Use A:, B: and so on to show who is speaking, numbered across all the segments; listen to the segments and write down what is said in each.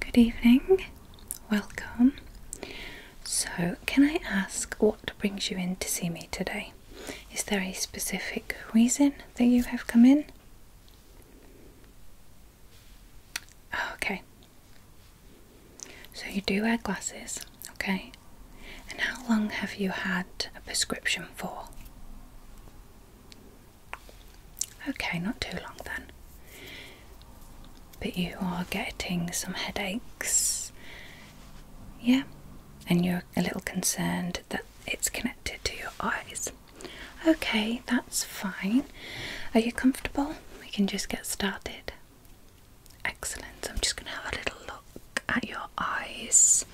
A: Good evening, welcome. So, can I ask what brings you in to see me today? Is there a specific reason that you have come in? Okay. So, you do wear glasses, okay? And how long have you had a prescription for? Okay, not too long then. But you are getting some headaches, yeah, and you're a little concerned that it's connected to your eyes. Okay, that's fine. Are you comfortable? We can just get started. Excellent. I'm just going to have a little look at your eyes.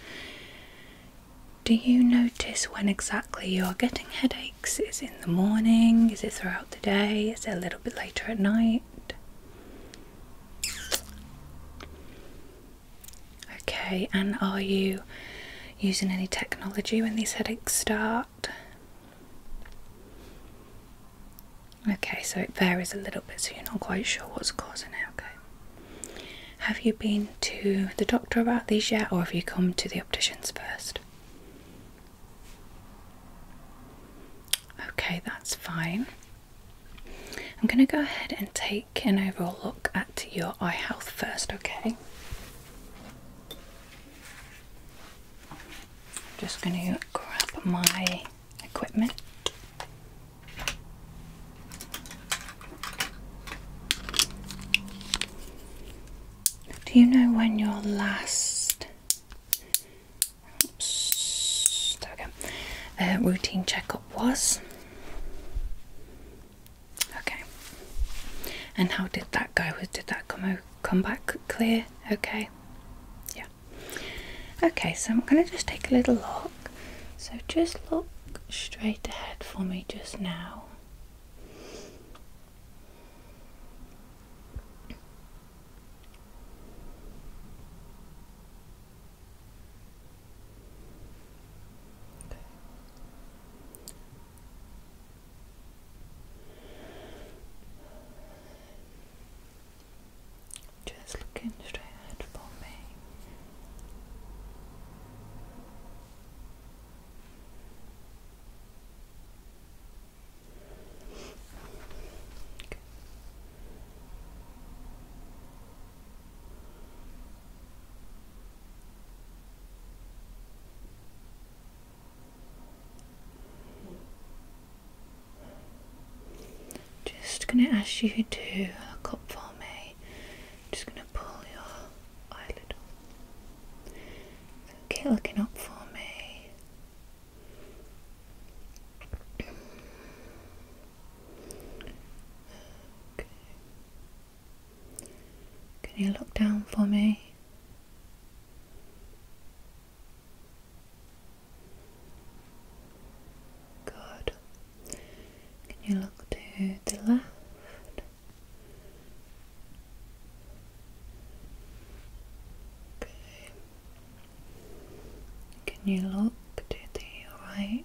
A: Do you notice when exactly you're getting headaches? Is in in the morning? Is it throughout the day? Is it a little bit later at night? Okay, and are you using any technology when these headaches start? Okay, so it varies a little bit, so you're not quite sure what's causing it. Okay, have you been to the doctor about these yet, or have you come to the opticians first? Okay, that's fine. I'm going to go ahead and take an overall look at your eye health first, okay? I'm just going to grab my equipment. Do you know when your last uh, routine checkup was? Okay. And how did that go? Did that come come back clear? Okay. Yeah. Okay, so I'm gonna just take a little look. So just look straight ahead for me just now. Just looking straight for me. Okay. Just going to ask you to look up for me. Just going to pull your eyelid Okay, looking up for me. Can you look down for me? Good. Can you look to the left? Can you look to the right?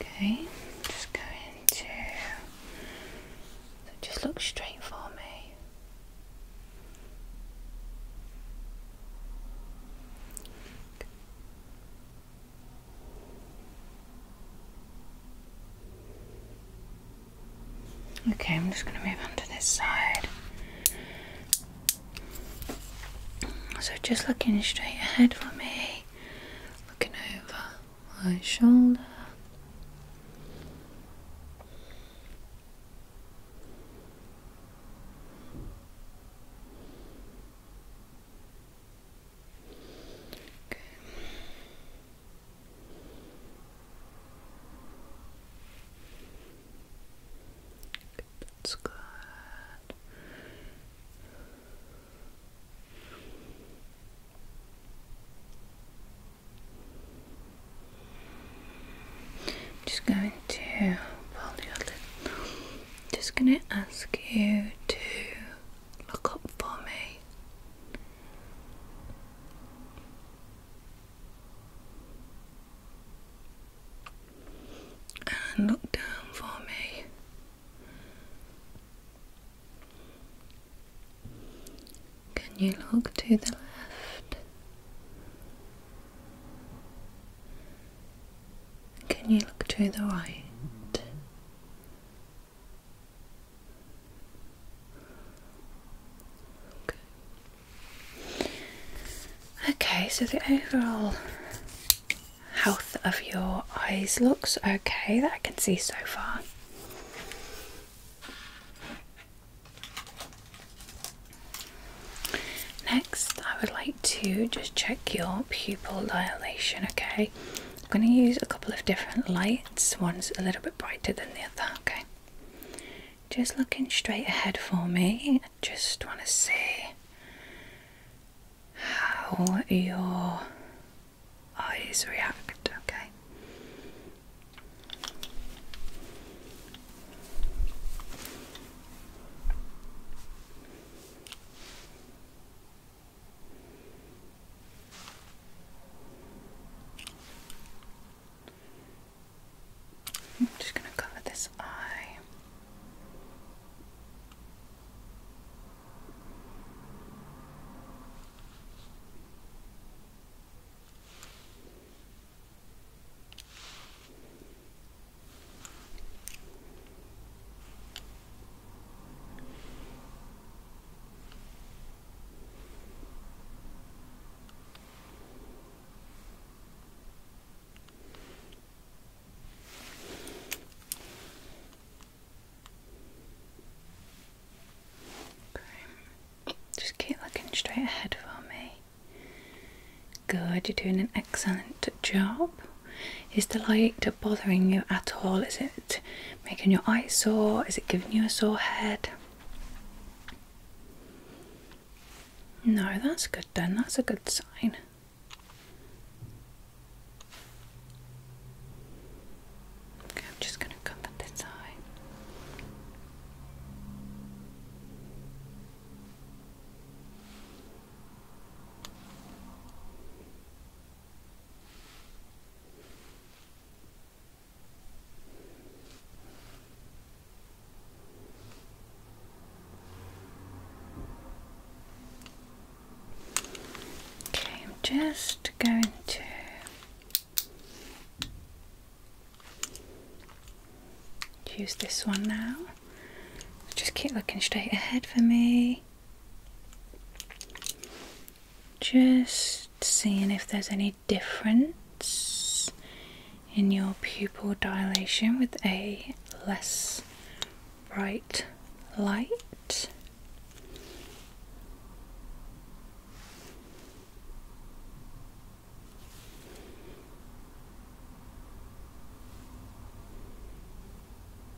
A: Okay, just going to just look straight for me. Okay, I'm just going to move onto this side. So, just looking straight ahead for me, looking over my shoulder. That's good. just going just gonna ask you to look up for me. And look down for me. Can you look to the left? Can you look to the right? Okay. okay, so the overall health of your eyes looks okay that I can see so far. Next, I would like to just check your pupil dilation, okay? I'm going to use a couple of different lights, one's a little bit brighter than the other, okay? Just looking straight ahead for me, I just want to see how your eyes react, okay? I'm just going to cover this eye. Just keep looking straight ahead for me. Good, you're doing an excellent job. Is the light bothering you at all? Is it making your eyes sore? Is it giving you a sore head? No, that's good then. That's a good sign. Okay, I'm just going to cover this eye. Okay, I'm just going to use this one now. Just keep looking straight ahead for me. Just seeing if there's any difference in your pupil dilation with a less bright light.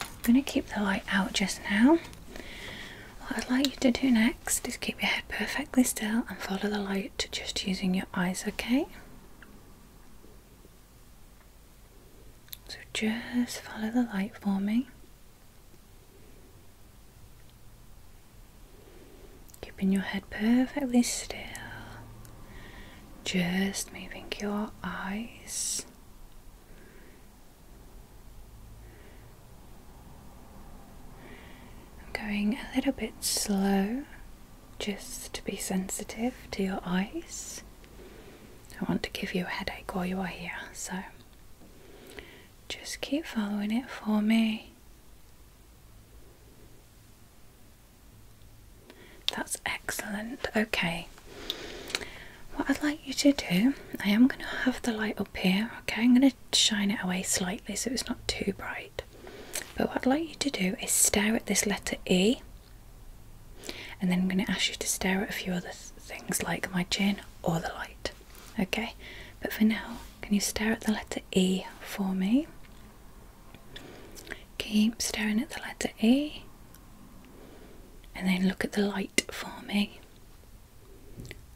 A: I'm going to keep the light out just now. What I'd like you to do next is keep your head perfectly still and follow the light just using your eyes, okay? So just follow the light for me. Keeping your head perfectly still. Just moving your eyes I'm going a little bit slow just to be sensitive to your eyes. I want to give you a headache while you are here, so just keep following it for me. That's excellent. Okay, what I'd like you to do, I am going to have the light up here, okay? I'm going to shine it away slightly so it's not too bright. But what I'd like you to do is stare at this letter E, and then I'm going to ask you to stare at a few other things like my chin or the light, okay? But for now, can you stare at the letter E for me? Keep staring at the letter E, and then look at the light for me.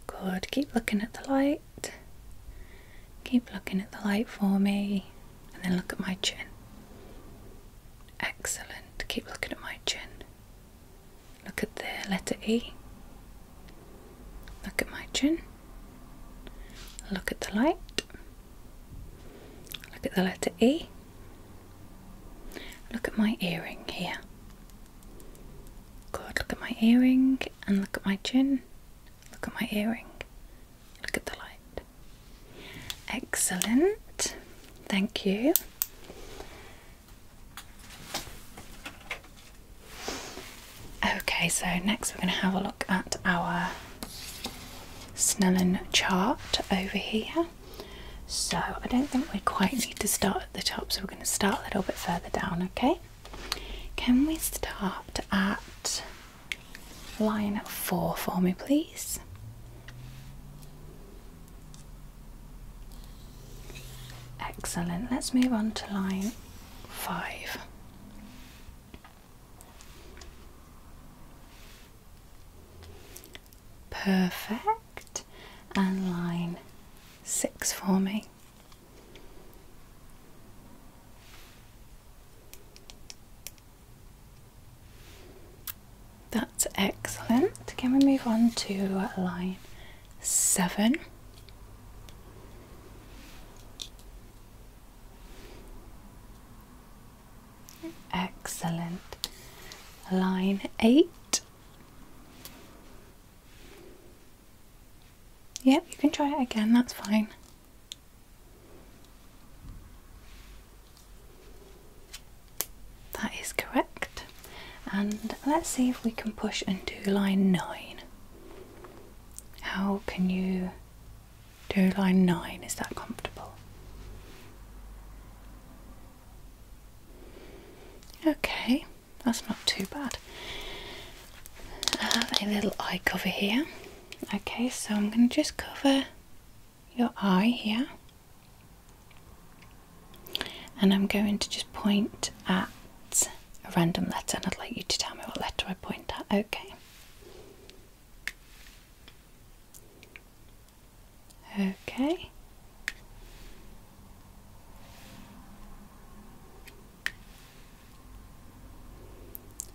A: Good. Keep looking at the light. Keep looking at the light for me. And then look at my chin. Excellent. Keep looking at my chin. Look at the letter E. Look at my chin. Look at the light. Look at the letter E. Look at my earring here. God, look at my earring and look at my chin. Look at my earring. Look at the light. Excellent. Thank you. Okay, so next we're going to have a look at our Snellen chart over here. So I don't think we quite need to start at the top, so we're going to start a little bit further down, okay? Can we start at line four for me, please? Excellent. Let's move on to line five. Perfect. And line six for me. That's excellent. Can we move on to line seven? Excellent. Line eight. Yep, you can try it again, that's fine. That is correct. And let's see if we can push and do line 9. How can you do line 9? Is that comfortable? Okay that's not too bad. I have uh, a little eye cover here. Okay, so I'm going to just cover your eye here. And I'm going to just point at a random letter, and I'd like you to tell me what letter I point at, okay? Okay.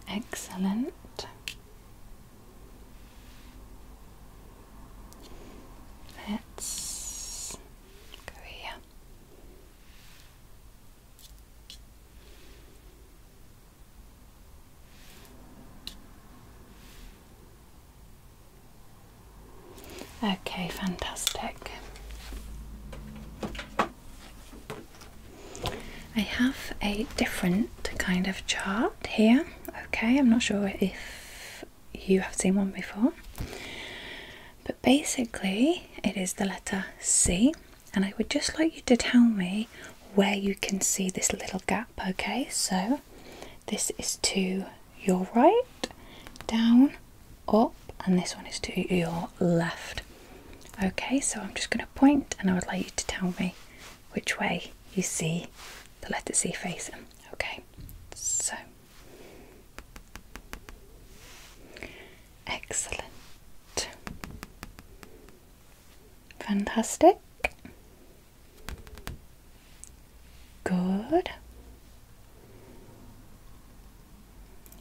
A: Excellent. Let's go here. Okay, fantastic. I have a different kind of chart here. Okay, I'm not sure if you have seen one before, but basically, it is the letter C, and I would just like you to tell me where you can see this little gap. Okay, so this is to your right, down, up, and this one is to your left. Okay, so I'm just going to point and I would like you to tell me which way you see the letter C facing. Okay, so excellent, fantastic. Good.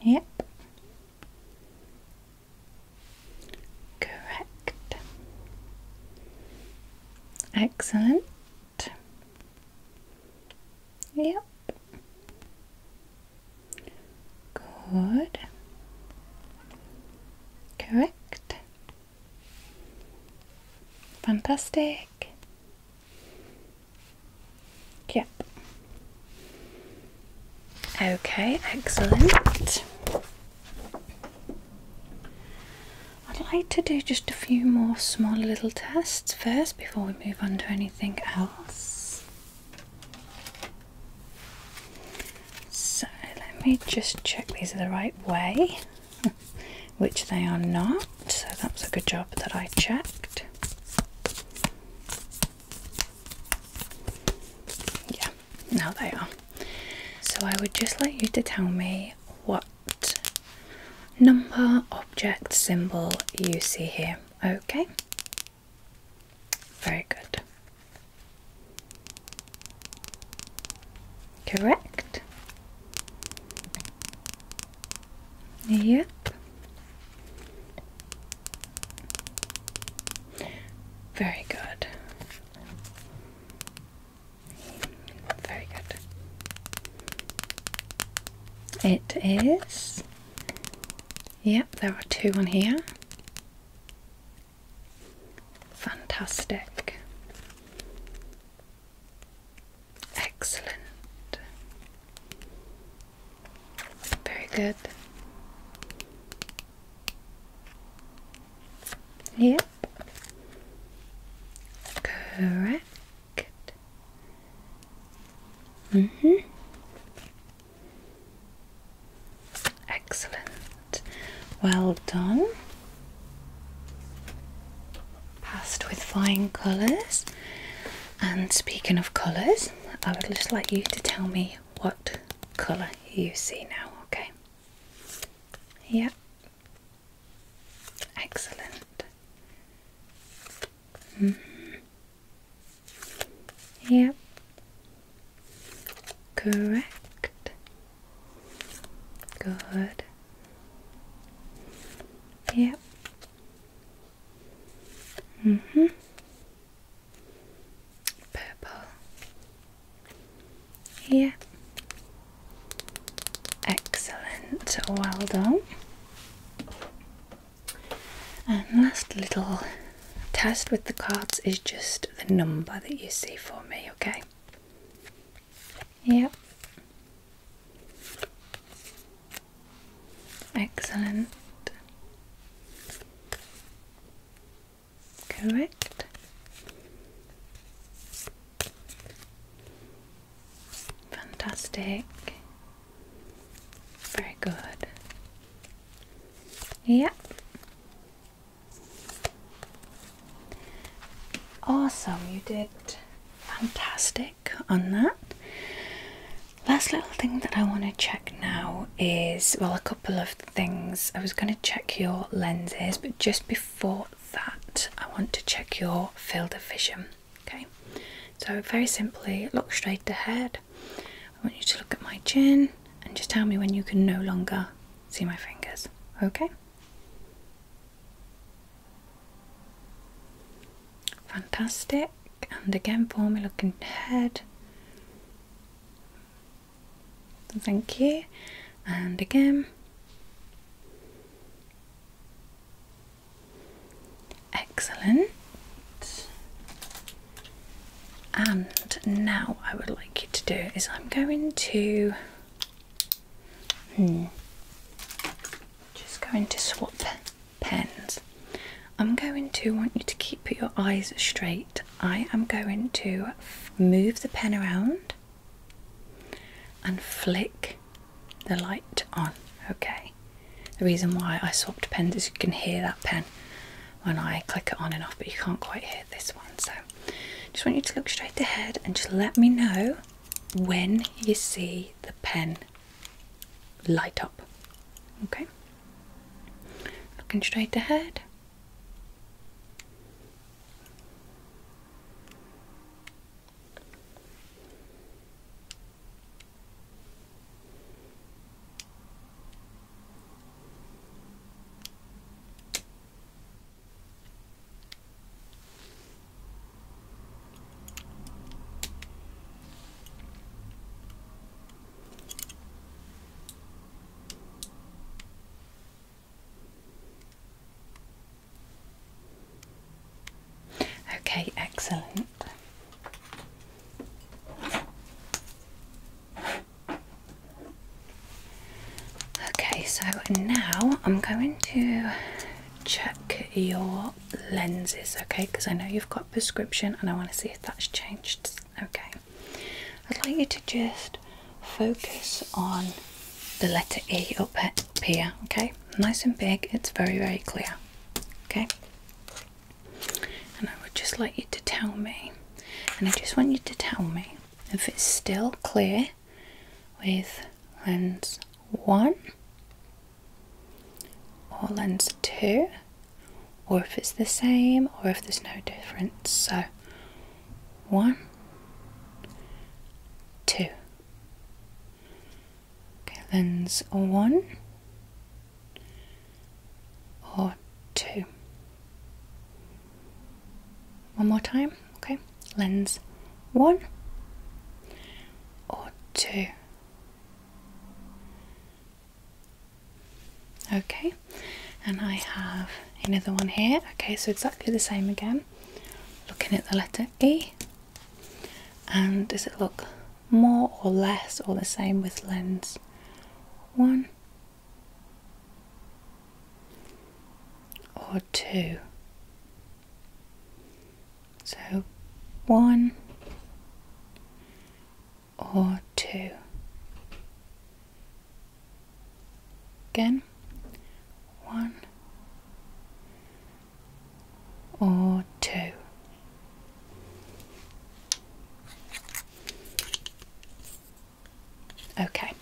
A: Yep. Correct. Excellent. Yep. Good. Correct. Fantastic. Yep. Okay, excellent. I'd like to do just a few more small little tests first before we move on to anything else. So let me just check these are the right way. which they are not, so that was a good job that I checked. Yeah, now they are. So I would just like you to tell me what number, object, symbol you see here, okay? Very good. Correct. Yep. Very good. Very good. It is. Yep, there are two on here. Fantastic. Excellent. Very good. Yep. Correct. Mm -hmm. Excellent. Well done. Passed with flying colours. And speaking of colours, I would just like you to tell me what colour you see now, okay? Yeah. Excellent. Mm-hmm. Yep. Correct. Good. Yep. Mm hmm Purple. Yeah. Excellent. Well done. And last little test with the cards is just the number that you see for me, okay? Yep. Excellent. Correct. Fantastic. Very good. Yep. Awesome, you did fantastic on that. Last little thing that I want to check now is well, a couple of things. I was going to check your lenses, but just before that, I want to check your field of vision. Okay, so very simply, look straight ahead. I want you to look at my chin and just tell me when you can no longer see my fingers. Okay. Fantastic. And again, for me head. Thank you. And again. Excellent. And now I would like you to do is I'm going to hmm, just going to swap pens. I'm going to want you to keep your eyes straight. I am going to move the pen around and flick the light on. Okay. The reason why I swapped pens is you can hear that pen when I click it on and off, but you can't quite hear this one. So just want you to look straight ahead and just let me know when you see the pen light up. Okay, looking straight ahead. Okay, excellent. Okay, so now I'm going to check your lenses, okay? Because I know you've got prescription and I want to see if that's changed, okay? I'd like you to just focus on the letter E up here, okay? Nice and big, it's very, very clear, okay? And I would just like you to tell me, and I just want you to tell me if it's still clear with lens 1, or lens 2, or if it's the same or if there's no difference. So 1, 2. Okay, lens 1 or 2. One more time, okay? Lens 1 or 2. Okay, and I have another one here. Okay, so exactly the same again. Looking at the letter E, and does it look more or less or the same with lens one or two? So one or two. Again, one or two. Okay.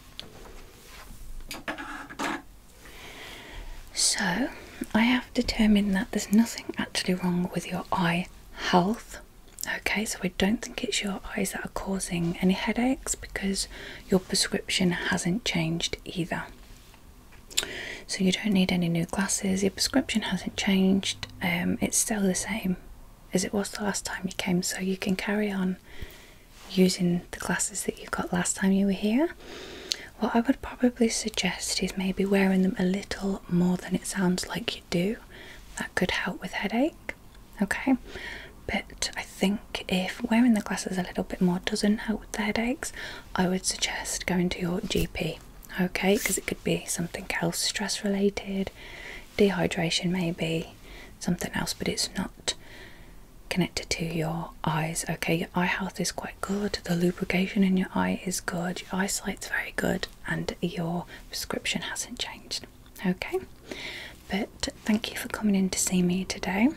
A: So I have determined that there's nothing actually wrong with your eye health. Okay, so I don't think it's your eyes that are causing any headaches because your prescription hasn't changed either. So you don't need any new glasses, your prescription hasn't changed, um, it's still the same as it was the last time you came, so you can carry on using the glasses that you got last time you were here what I would probably suggest is maybe wearing them a little more than it sounds like you do. That could help with headache. Okay, but I think if wearing the glasses a little bit more doesn't help with the headaches, I would suggest going to your GP. Okay, because it could be something else stress related, dehydration, maybe something else, but it's not connected to your eyes. Okay, your eye is quite good, the lubrication in your eye is good, your eyesight's very good, and your prescription hasn't changed. Okay, but thank you for coming in to see me today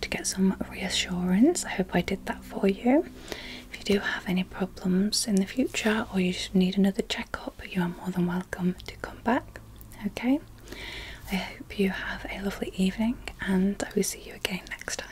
A: to get some reassurance. I hope I did that for you. If you do have any problems in the future or you need another checkup, you are more than welcome to come back. Okay, I hope you have a lovely evening and I will see you again next time.